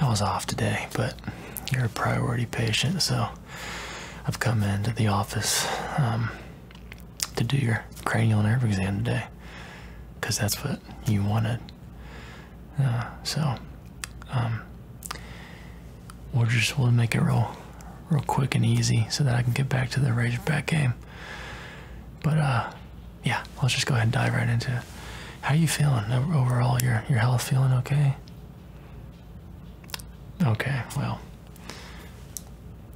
I was off today, but you're a priority patient, so I've come into the office um, to do your cranial nerve exam today because that's what you wanted. Uh, so, um, we'll just we'll make it real, real quick and easy so that I can get back to the Razorback game. But uh, yeah, let's just go ahead and dive right into it. How are you feeling overall? Your your health feeling okay? Okay, well,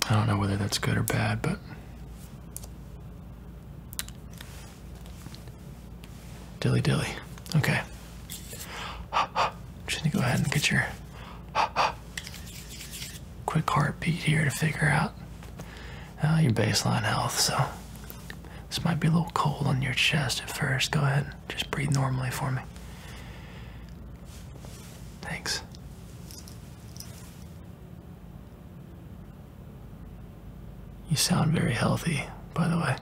I don't know whether that's good or bad, but dilly dilly. Okay, just going to go ahead and get your quick heartbeat here to figure out your baseline health. So this might be a little cold on your chest at first. Go ahead, just breathe normally for me. Thanks. You sound very healthy, by the way.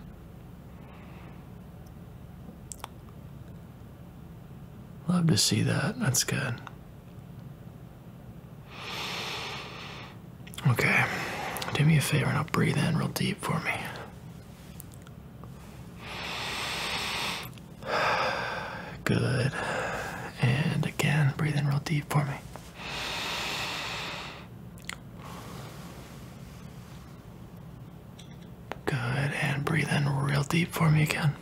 Love to see that. That's good. Okay, do me a favor and I'll breathe in real deep for me. Good. And again, breathe in real deep for me. Good. And breathe in real deep for me again.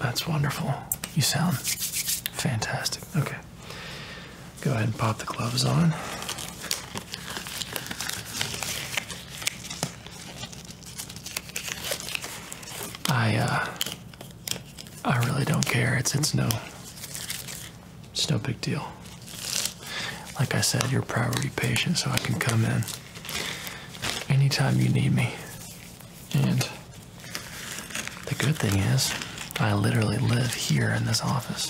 That's wonderful. You sound fantastic. Okay. Go ahead and pop the gloves on. I uh I really don't care. It's it's no it's no big deal. Like I said, you're a priority patient, so I can come in anytime you need me. And the good thing is, I literally live here in this office.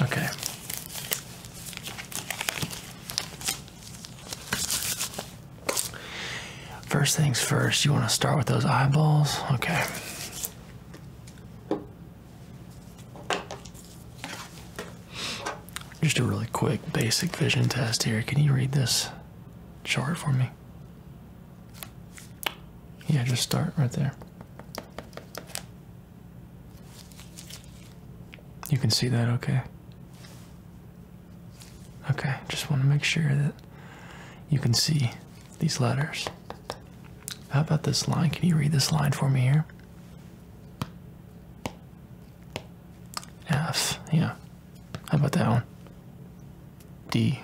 Okay. First things first, you want to start with those eyeballs? Okay. Just a really quick basic vision test here. Can you read this chart for me? Yeah, just start right there. You can see that okay? Okay, just want to make sure that you can see these letters. How about this line? Can you read this line for me here? F, yeah. How about that one? D,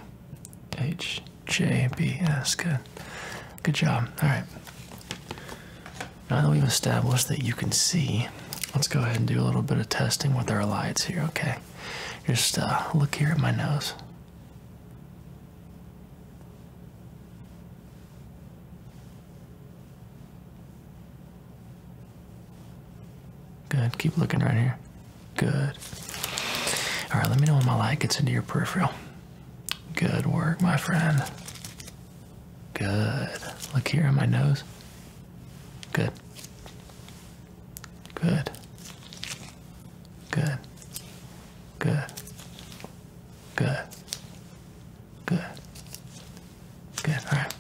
H, J, B, that's good. Good job. All right. Now that we've established that you can see, let's go ahead and do a little bit of testing with our lights here, okay? Just uh, look here at my nose. Good. Keep looking right here. Good. All right, let me know when my light gets into your peripheral. Good work, my friend. Good. Look here on my nose. Good. Good. Good. Good. Good. Good. Good. All right.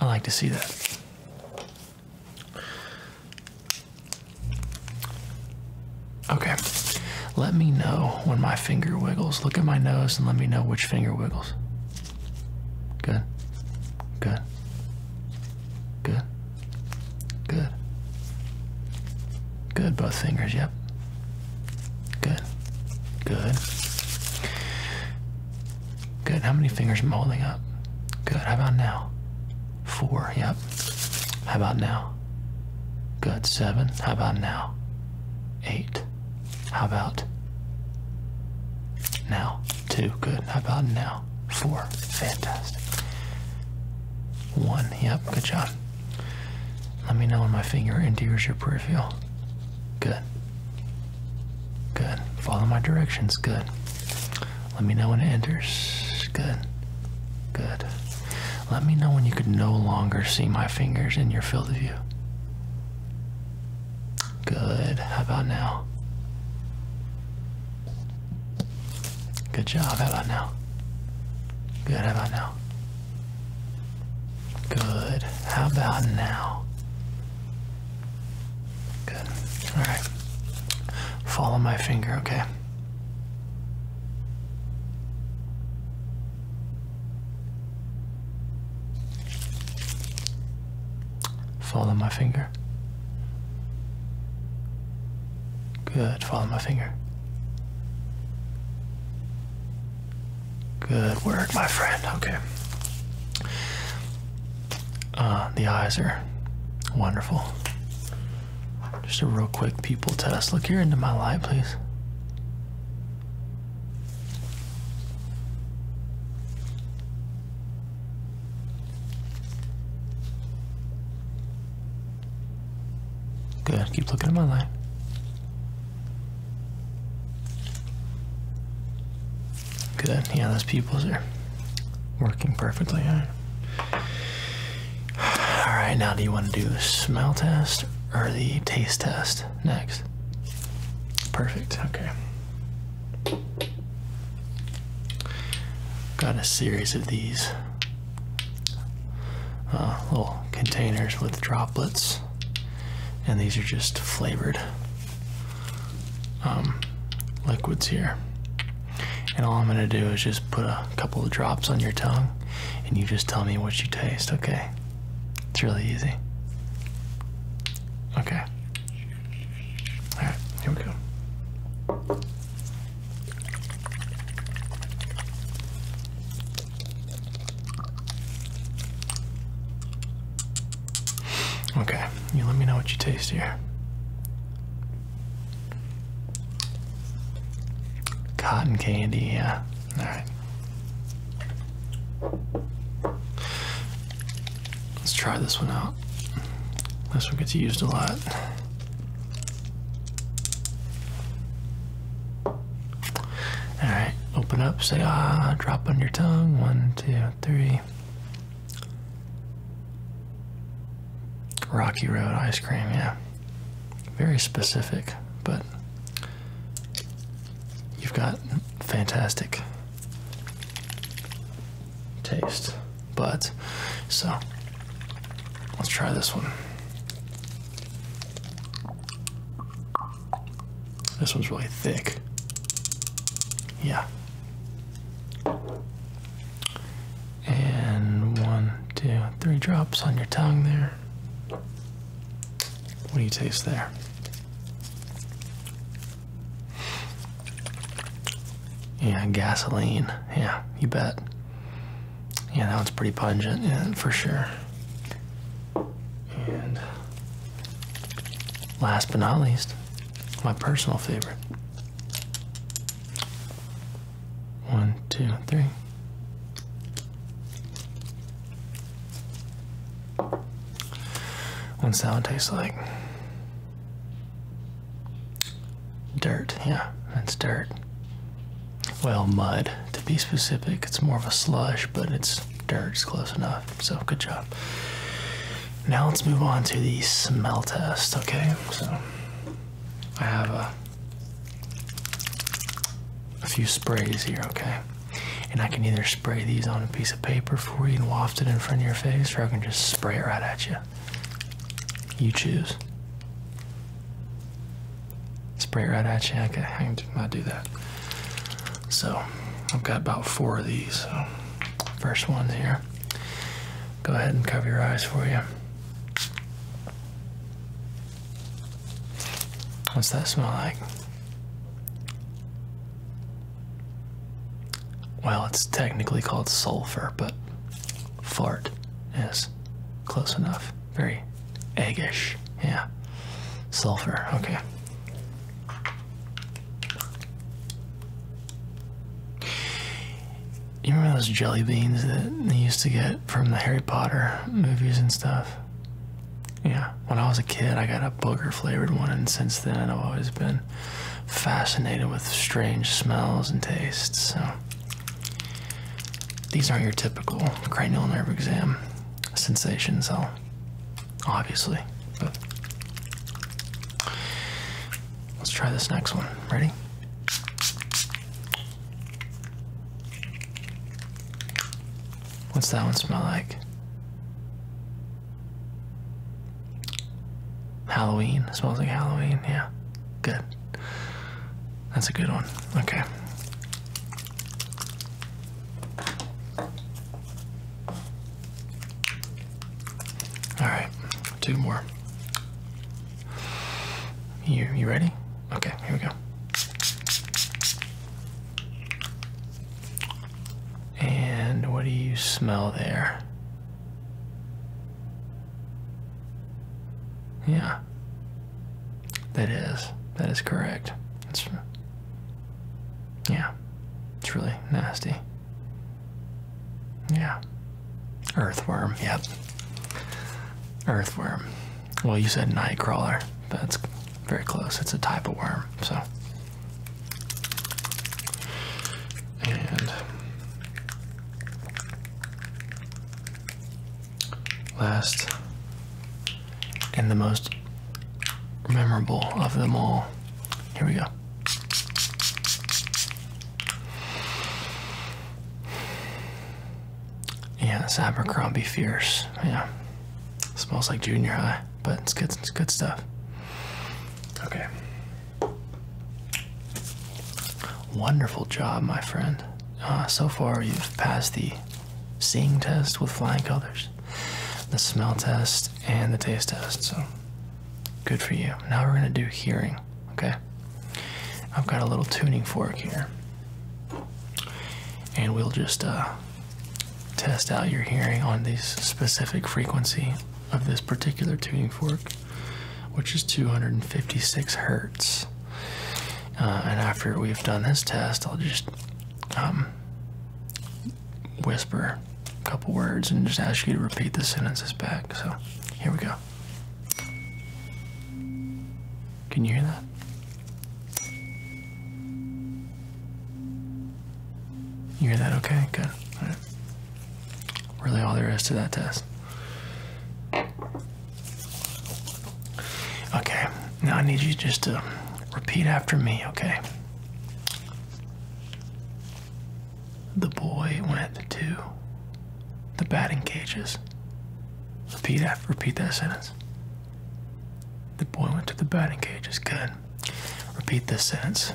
I like to see that. Okay. Let me know when my finger wiggles. Look at my nose and let me know which finger wiggles. Good. Good. Good. Good. Good, both fingers, yep. Good. Good. Good. How many fingers am holding up? Good. How about now? Four, yep. How about now? Good. Seven. How about now? Eight. How about now? Two. Good. How about now? Four. Fantastic. One. Yep. Good job. Let me know when my finger enters your peripheral. Good. Good. Follow my directions. Good. Let me know when it enters. Good. Good. Let me know when you could no longer see my fingers in your field of view. Good. How about now? Good job. How about now? Good. How about now? Good. How about now? Good. All right. Follow my finger, okay? Follow my finger. Good. Follow my finger. Good work, my friend. Okay. Uh, the eyes are wonderful. Just a real quick people test. Look here into my light, please. Good. Keep looking at my line. Good. Yeah, those pupils are working perfectly. All right. Now, do you want to do the smell test or the taste test next? Perfect. Okay. Got a series of these uh, little containers with droplets, and these are just flavored um, liquids here. And all I'm gonna do is just put a couple of drops on your tongue, and you just tell me what you taste, okay? It's really easy. Okay. Alright, here we go. Okay, you let me know what you taste here. Cotton candy, yeah. Alright. Let's try this one out. This one gets used a lot. All right, open up, say ah, drop on your tongue. One, two, three. Rocky Road ice cream, yeah. Very specific, but you've got fantastic taste but so let's try this one. This one's really thick. Yeah. And one, two, three drops on your tongue there. What do you taste there? Yeah, gasoline. Yeah, you bet. Yeah, that one's pretty pungent, yeah, for sure. And last but not least, my personal favorite. One, two, three. What's that one taste like? Dirt, yeah, that's dirt. Well, mud, to be specific. It's more of a slush, but it's dirt, it's close enough. So, good job. Now, let's move on to the smell test, okay? So, I have a, a few sprays here, okay? And I can either spray these on a piece of paper for you and waft it in front of your face, or I can just spray it right at you. You choose. Spray right at you. I, can, not I might do that. So I've got about four of these. So first one here. Go ahead and cover your eyes for you. What's that smell like? Well, it's technically called sulfur, but fart is close enough. Very eggish. Yeah. Sulfur. Okay. You remember those jelly beans that they used to get from the Harry Potter movies and stuff? Yeah. When I was a kid, I got a booger flavored one, and since then, I've always been fascinated with strange smells and tastes. So, these aren't your typical cranial nerve exam sensations, i obviously. But let's try this next one. Ready? What's that one smell like? Halloween. smells like Halloween. Yeah. Good. That's a good one. Okay. All right. Two more. You you ready? Okay, here we go. And what do you smell there? Yeah. That is. That is correct. It's Yeah. It's really nasty. Yeah. Earthworm, yep. Earthworm. Well, you said nightcrawler, but that's very close. It's a type of worm, so and last and the most memorable of them all. Here we go. Yeah, it's Abercrombie Fierce. Yeah. Smells like junior high, but it's good it's good stuff. Okay. Wonderful job, my friend. Ah, so far, you've passed the seeing test with flying colors, the smell test, and the taste test. So, good for you. Now we're going to do hearing, okay? I've got a little tuning fork here. And we'll just uh, test out your hearing on these specific frequency of this particular tuning fork, which is 256 hertz. Uh, and after we've done this test, I'll just um, whisper a couple words and just ask you to repeat the sentences back. So here we go. Can you hear that? You hear that okay? Good. Really, all there is to that test. Okay, now I need you just to repeat after me, okay? The boy went to the batting cages. Repeat after repeat that sentence. The boy went to the batting cages. Good. Repeat this sentence.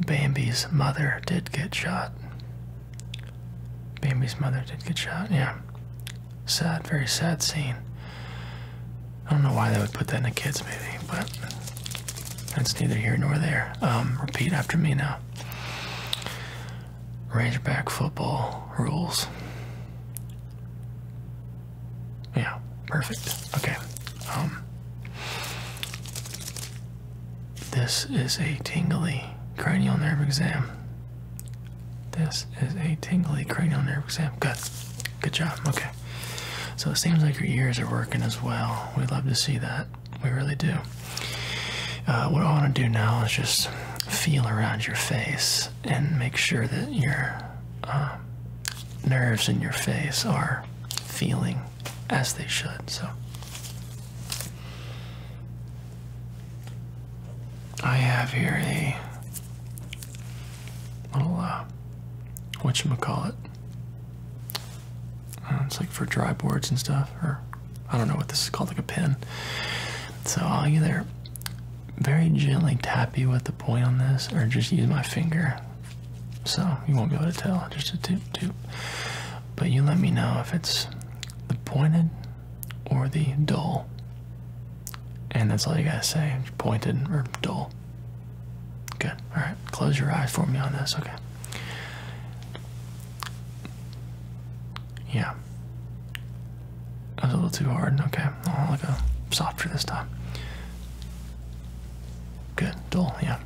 Bambi's mother did get shot. Bambi's mother did get shot, yeah. Sad, very sad scene. I don't know why they would put that in a kid's movie, but that's neither here nor there. Um, repeat after me now. Rangeback football rules. Yeah, perfect. Okay. Um, this is a tingly cranial nerve exam. This is a tingly cranial nerve exam. Good. Good job. Okay. So it seems like your ears are working as well. we love to see that. We really do. Uh, what I want to do now is just feel around your face and make sure that your uh, nerves in your face are feeling as they should. So I have here a little uh what you call it? Uh, it's like for dry boards and stuff, or I don't know what this is called, like a pen. So I'll either very gently tap you with the point on this or just use my finger so you won't be able to tell, just a toot toot. But you let me know if it's the pointed or the dull. And that's all you gotta say, pointed or dull. Good, all right, close your eyes for me on this, okay. Yeah, that was a little too hard, okay. I'll go uh, softer this time. Good, dull, yeah.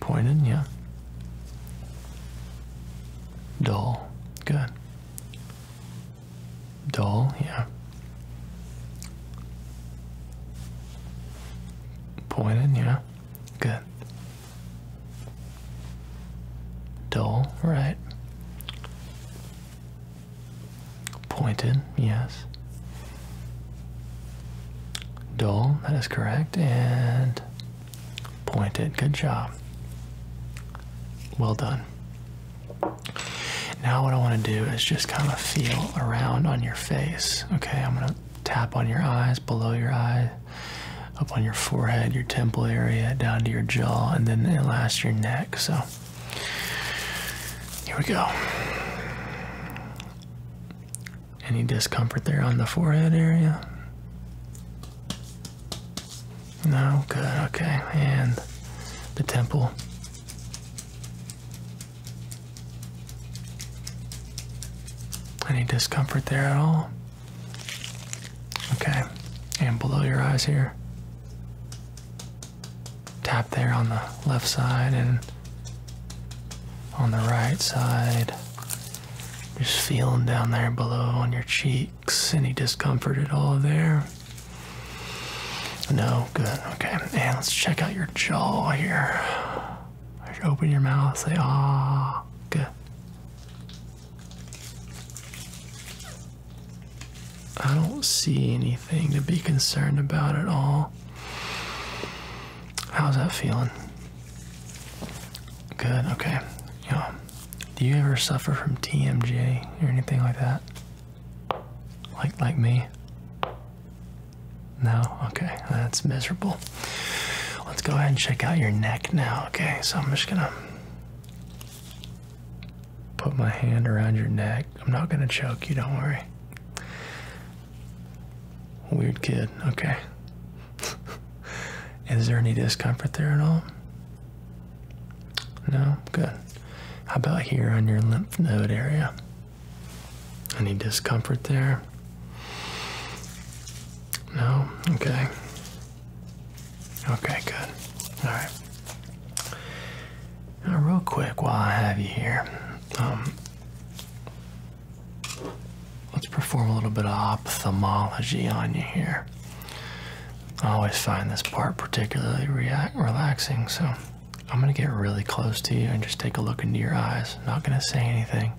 Pointed, yeah. Dull, good. Dull, yeah. Pointed, yeah. Good. Dull, right. Pointed, yes. Dull, that is correct, and pointed. Good job. Well done. Now, what I want to do is just kind of feel around on your face. Okay, I'm going to tap on your eyes, below your eye, up on your forehead, your temple area, down to your jaw, and then at last your neck. So here we go. Any discomfort there on the forehead area? No, good, okay. And the temple. Any discomfort there at all? Okay. And below your eyes here. Tap there on the left side and on the right side. Just feeling down there below on your cheeks. Any discomfort at all there? No, good. Okay, and let's check out your jaw here. Open your mouth, say ah, good. I don't see anything to be concerned about at all. How's that feeling? Good, okay. Yeah. Do you ever suffer from TMJ or anything like that? Like like me? No? Okay, that's miserable. Let's go ahead and check out your neck now, okay? So I'm just gonna put my hand around your neck. I'm not gonna choke you, don't worry. Weird kid, okay. Is there any discomfort there at all? No? Good. How about here on your lymph node area? Any discomfort there? No? Okay. Okay, good. All right. Now, real quick, while I have you here, um, let's perform a little bit of ophthalmology on you here. I always find this part particularly relaxing, so I'm gonna get really close to you and just take a look into your eyes. Not gonna say anything.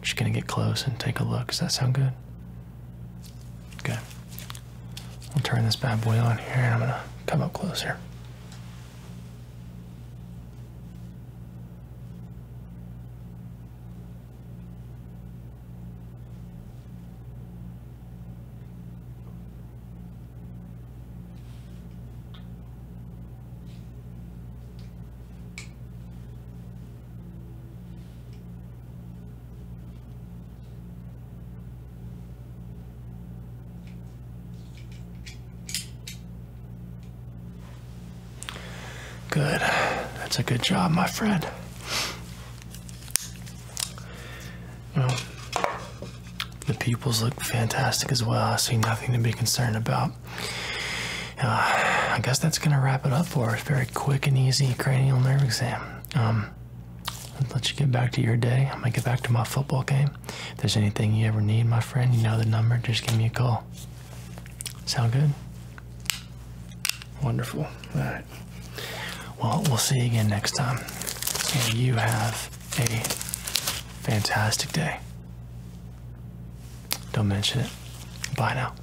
Just gonna get close and take a look. Does that sound good? Okay. I'll turn this bad boy on here and I'm gonna come up closer. Good. That's a good job, my friend. Well, the pupils look fantastic as well. I see nothing to be concerned about. Uh, I guess that's going to wrap it up for us. Very quick and easy cranial nerve exam. Um, let you get back to your day. I'm gonna get back to my football game. If there's anything you ever need, my friend, you know the number. Just give me a call. Sound good? Wonderful. All right. Well, we'll see you again next time. And you have a fantastic day. Don't mention it. Bye now.